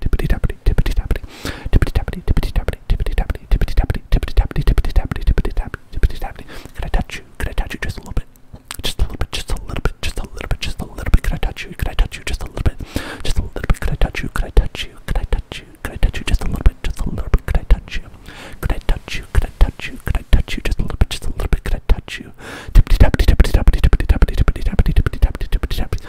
tappity, tippity tappity, tippity tappity, tippity tappity, tippity tappity, tippity tappity, tippity tappity, tippity tappity, tippity tappity, tippity tappity, tippity tappity. Could I touch you? Could I touch you just a little bit? Just a little bit, just a little bit, just a little bit, just a little bit. Could I touch you? Could I touch you just a little bit? Just a little bit. Could I touch you? Could I touch you? Could I touch you? Could I touch you just a little bit? Just a little bit. Could I touch you? Could I touch you? Could I touch you? Could I touch you just a little bit? Just a little bit. Could I touch you? Tippity tappity, tippity tappity, tippity tappity, tippity tappity, tippity tappity, tippity tappity.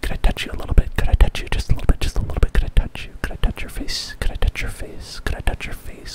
Could I touch you a little bit? Could I touch you just a little bit? Just a little bit? Could I touch you? Could I touch your face? Could I touch your face? Could I touch your face?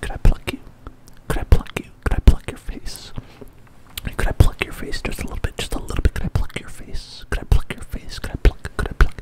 Could I pluck you? Could I pluck you? Could I pluck your face? Could I pluck your face just a little bit? Just a little bit. Could I pluck your face? Could I pluck your face? Could I pluck? Could I pluck?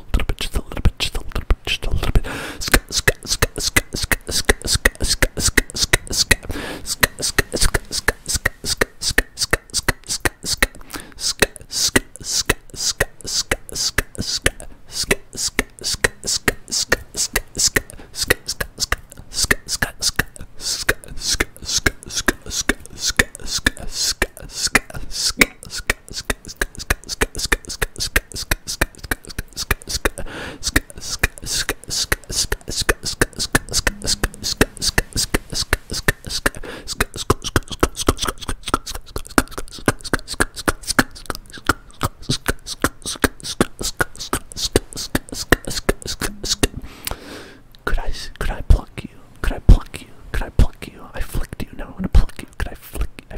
a little bit, just a little bit, just a little bit, just a little bit. Ska, ska, ska, ska, ska, ska, ska, ska, ska, ska, ska. Ska, ska, ska, ska, ska, ska, ska, ska, ska, ska, ska. Ska, ska, ska, ska, ska, ska, ska. Ska, ska, ska, ska, ska, ska, ska. Ska, ska, ska, ska, ska, ska. Ska, ska, ska, ska, ska, ska, ska, ska, ska, ska, ska. Could I could I pluck you? Could I pluck you? Could I pluck you? I flicked you. Now i want to pluck you. Could I flick I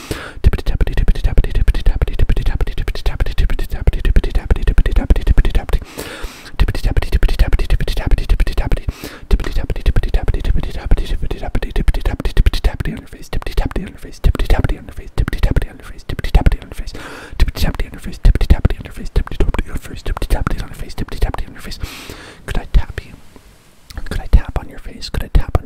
Tippity tappity tippity tappity tippity tappity tippity tappity tippity tappity tippity tappity tippity tappity tippity tappity tippity tappity tippity tappity tippity tappity tippity tappity tippity tappity tippity tappity tippity tappity tippity tappity tippity tappity tippity tappity tippity tappity on your face tippity tappity on your face tippity tappity on your face tippity tappity on your face tippity tappity on your face tippity tappity on your face tippity tappity on your face tippity tappity on your face tippity tappity on your face tippity tappity on your face could I tap you could I tap on your face could I tap on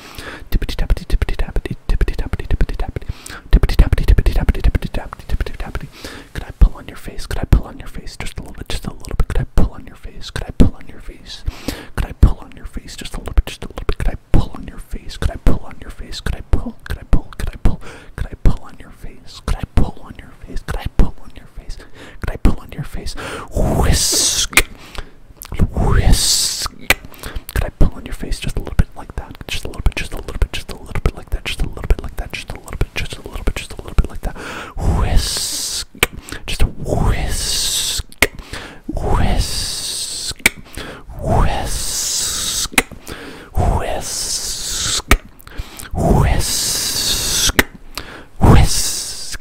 Tippity tappity tippity tappity tippity tappity tippity tappity tippity tappity tippity tappity tippity tappity tippity tappity. Could I pull on your face? Could I pull on your face? Just a little bit, just a little bit. Could I pull on your face? Could I pull on your face? Could I pull on your face? Just a little bit, just a little bit. Could I pull on your face? Could I pull on your face? Could I pull? Could I pull? Could I pull? Could I pull on your face? Could I pull on your face? Could I pull on your face? Could I pull on your face? Whisk Whisk. Could I pull on your face just a little bit like that? Just a little bit, just a little bit, just a little bit like that, just a little bit like that, just a little bit, just a little bit, just a little bit like that. Whisk. Just Whisk. Whisk. Whisk. Whisk. Whisk. Whisk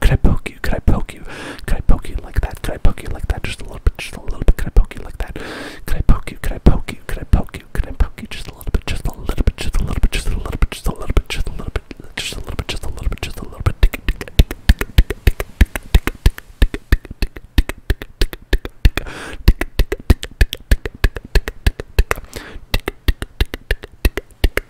Could I poke you? Could I poke you? Could I poke you like that? Could I poke you like that? Just a little bit, just a little bit. Could I poke you like that? Could I poke you? Could I poke you? Could I poke you? Could I poke you just a little bit? Just a little bit. Just a little bit. Just a little bit. Just a little bit. Just a little bit. Just a little bit. Just a little bit. Just a little bit.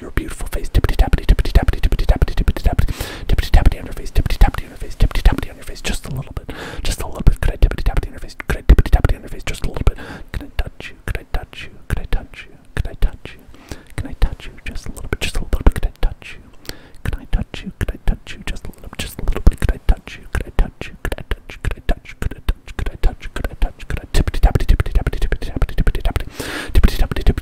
your beautiful face. Tippity tappity, tippity tappity, tippity tappity, tippity tappity, tippity tappity on your face. Tippity tappity on your face. Tippity tappity on your face. Just a little bit. Just a little bit. Could I tippity tappity on your face? Could I tippity tappity on your face? Just a little bit. Can I touch you? Could I touch you? Could I touch you? Could I touch you? Can I touch you? Just a little bit. Just a little bit. Could I touch you? Could I touch you? Could I touch you? Just a little bit. Just a little bit. Could I touch you? Could I touch you? Could I touch? Could I touch? Could I touch? Could I touch? Could I touch? Could I tippity tappity, tippity tappity, tippity tappity, tippity tappity, tippity tappity,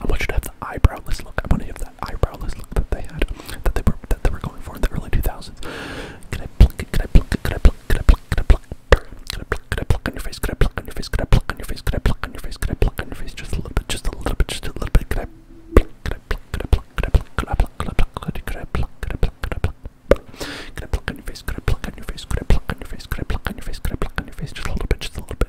I want you to have the eyebrowless look. I want to have that eyebrowless look that they had, that they were that they were going for in the early 2000s. Can I pluck it? Can I pluck it? Can I pluck? Can I pluck? Can I pluck? Can I pluck? Can I pluck on your face? Can I pluck on your face? Can I pluck on your face? Can I pluck on your face? Can I pluck on your face? Just a little bit. Just a little bit. Just a little bit. Can I pluck? Can I pluck? Can I pluck? Can I pluck? Can I pluck? Can I pluck? Can I pluck? Can I pluck? Can I pluck? Can I pluck on your face? Can I pluck on your face? Can I pluck on your face? Can I pluck on your face? Can I pluck on your face? Can I pluck on your face? Just a little bit. Just a little bit.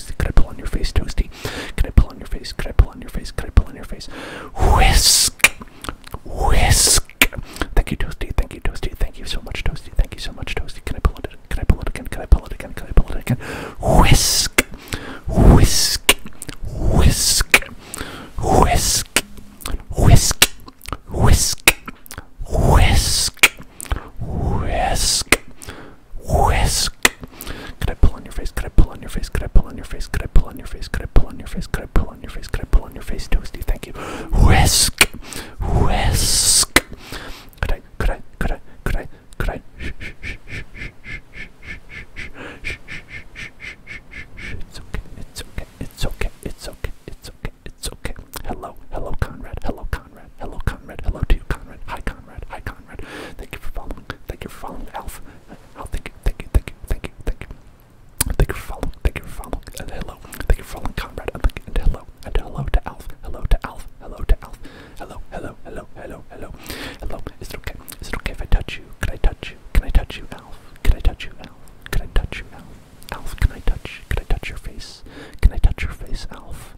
Could I pull on your face, toasty? Could I pull on your face? Could I pull on your face? Could I pull on your face? Whisk, whisk. Thank you, toasty. Thank you, toasty. Thank you so much, toasty. Thank you so much, toasty. Can I pull it? again? Can I pull it again? Can I pull it again? Can I pull it again? Whisk, whisk, whisk, whisk, whisk, whisk, whisk. Whisk. Whisk. Could I pull on your face? Could I pull on your face? Could I pull on your face? Could I pull on your face? Could I pull on your face? Could I pull on your face? Could I pull on your face? Toasty, thank you. Whisk. Whisk. Could I could I could I could I could I shh shh shh shh It's okay, it's okay, it's okay, it's okay, it's okay, it's okay. Hello, hello Conrad, hello Conrad. Hello, Conrad. Hello to you, Conrad. Hi, Conrad. Hi, Conrad. Thank you for following. Thank you for following, Alf. Oh, thank you, thank you, thank you, thank you, thank you. Thank you for following. Thank you for following. And hello. Thank you for following, Conrad. And, thank you, and hello. And hello to Alf. Hello to Alf. Hello to Alf. Hello, hello, hello, hello, hello. Hello. Is it okay? Is it okay if I touch you? Can I touch you? Can I touch you, Alf? Can I touch you, Alf? Can I touch you, Alf? Alf, can I touch? Can I touch your face? Can I touch your face, Alf?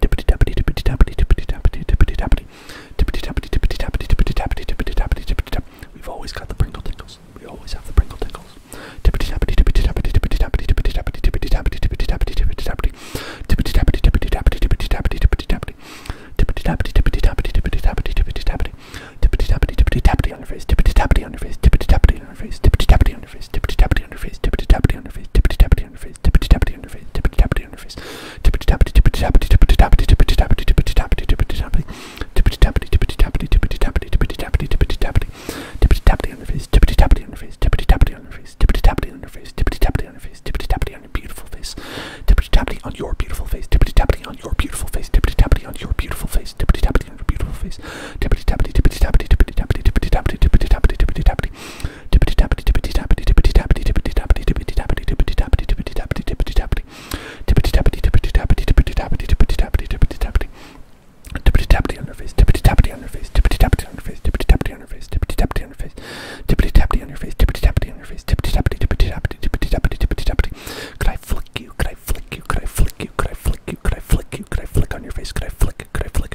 Tippity tappity tippity tappity tippity tappity tippity tappity tippity tappity tippity tappity tippity tappity tippity tappity tippity tap. We've always got the Pringle tingles. We always have the Pringle tingles. Tippity tappity tippity tappity tippity tappity tippity tappity tippity tappity tippity tappity tippity tappity tippity tappity tippity tappity tippity tappity tippity tappity tippity tappity tippity tappity tippity tappity tippity tappity tippity tappity tippity tappity on your face tippity tappity on your face tippity tappity on your face tippity tappity on your face tippity tappity on your face tippity tappity on your face tippity tappity tippity tappity on your face, tippity tappity on your face, tippity tappity, tippity tappity, tippity tappity, tippity tappity, tippity tappity, tippity tappity, tippity tappity, tippity tappity, tippity tappity, tippity tappity, tippity tappity, tippity tappity on your face, tippity tappity on your face, tippity tappity on your face, tippity tappity on your face, tippity tappity on your face, tippity tappity on your beautiful face, tippity tappity on your beautiful face, tippity tappity on your beautiful face, tippity tappity on your beautiful face, tippity tappity tippity tappity, tippity tappity, tippity tappity, tippity tappity, tippity tappity, tippity tappity, tappity, tippity Tippity tappity tippity tappity tippity tappity tippity tappity tippity tappity tippity tappity tippity tappity tippity tappity tippity tappity tippity tappity tippity tappity tippity tappity tippity tappity tippity tappity on your face tippity tappity on your face tippity tappity on your face tippity tappity on your face tippity tappity on your face tippity tappity on your face tippity tappity on your face tippity tappity tippity tappity tippity tappity tippity tappity could I flick you could I flick you could I flick you could I flick you could I flick you could I flick on your face could I flick could I flick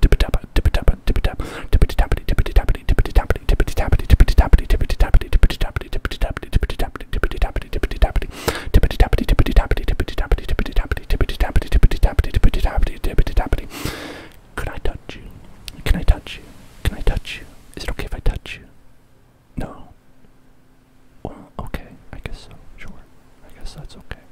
tippity tap, tippity tap, tippity tap, tippity tappity, tippity tappity, tippity tappity, tippity tappity, tippity tappity, tippity tappity, tippity tappity, tippity tappity, tippity tappity, tippity tappity, tippity tappity, tippity tappity, tippity tappity, tippity tappity, tippity tappity, tippity tappity, tippity tappity, tippity tappity, tippity tappity. Could I touch you? Can I touch you? Can I touch you? Is it okay if I touch you? No. Well, okay. I guess so. Sure. I guess that's okay.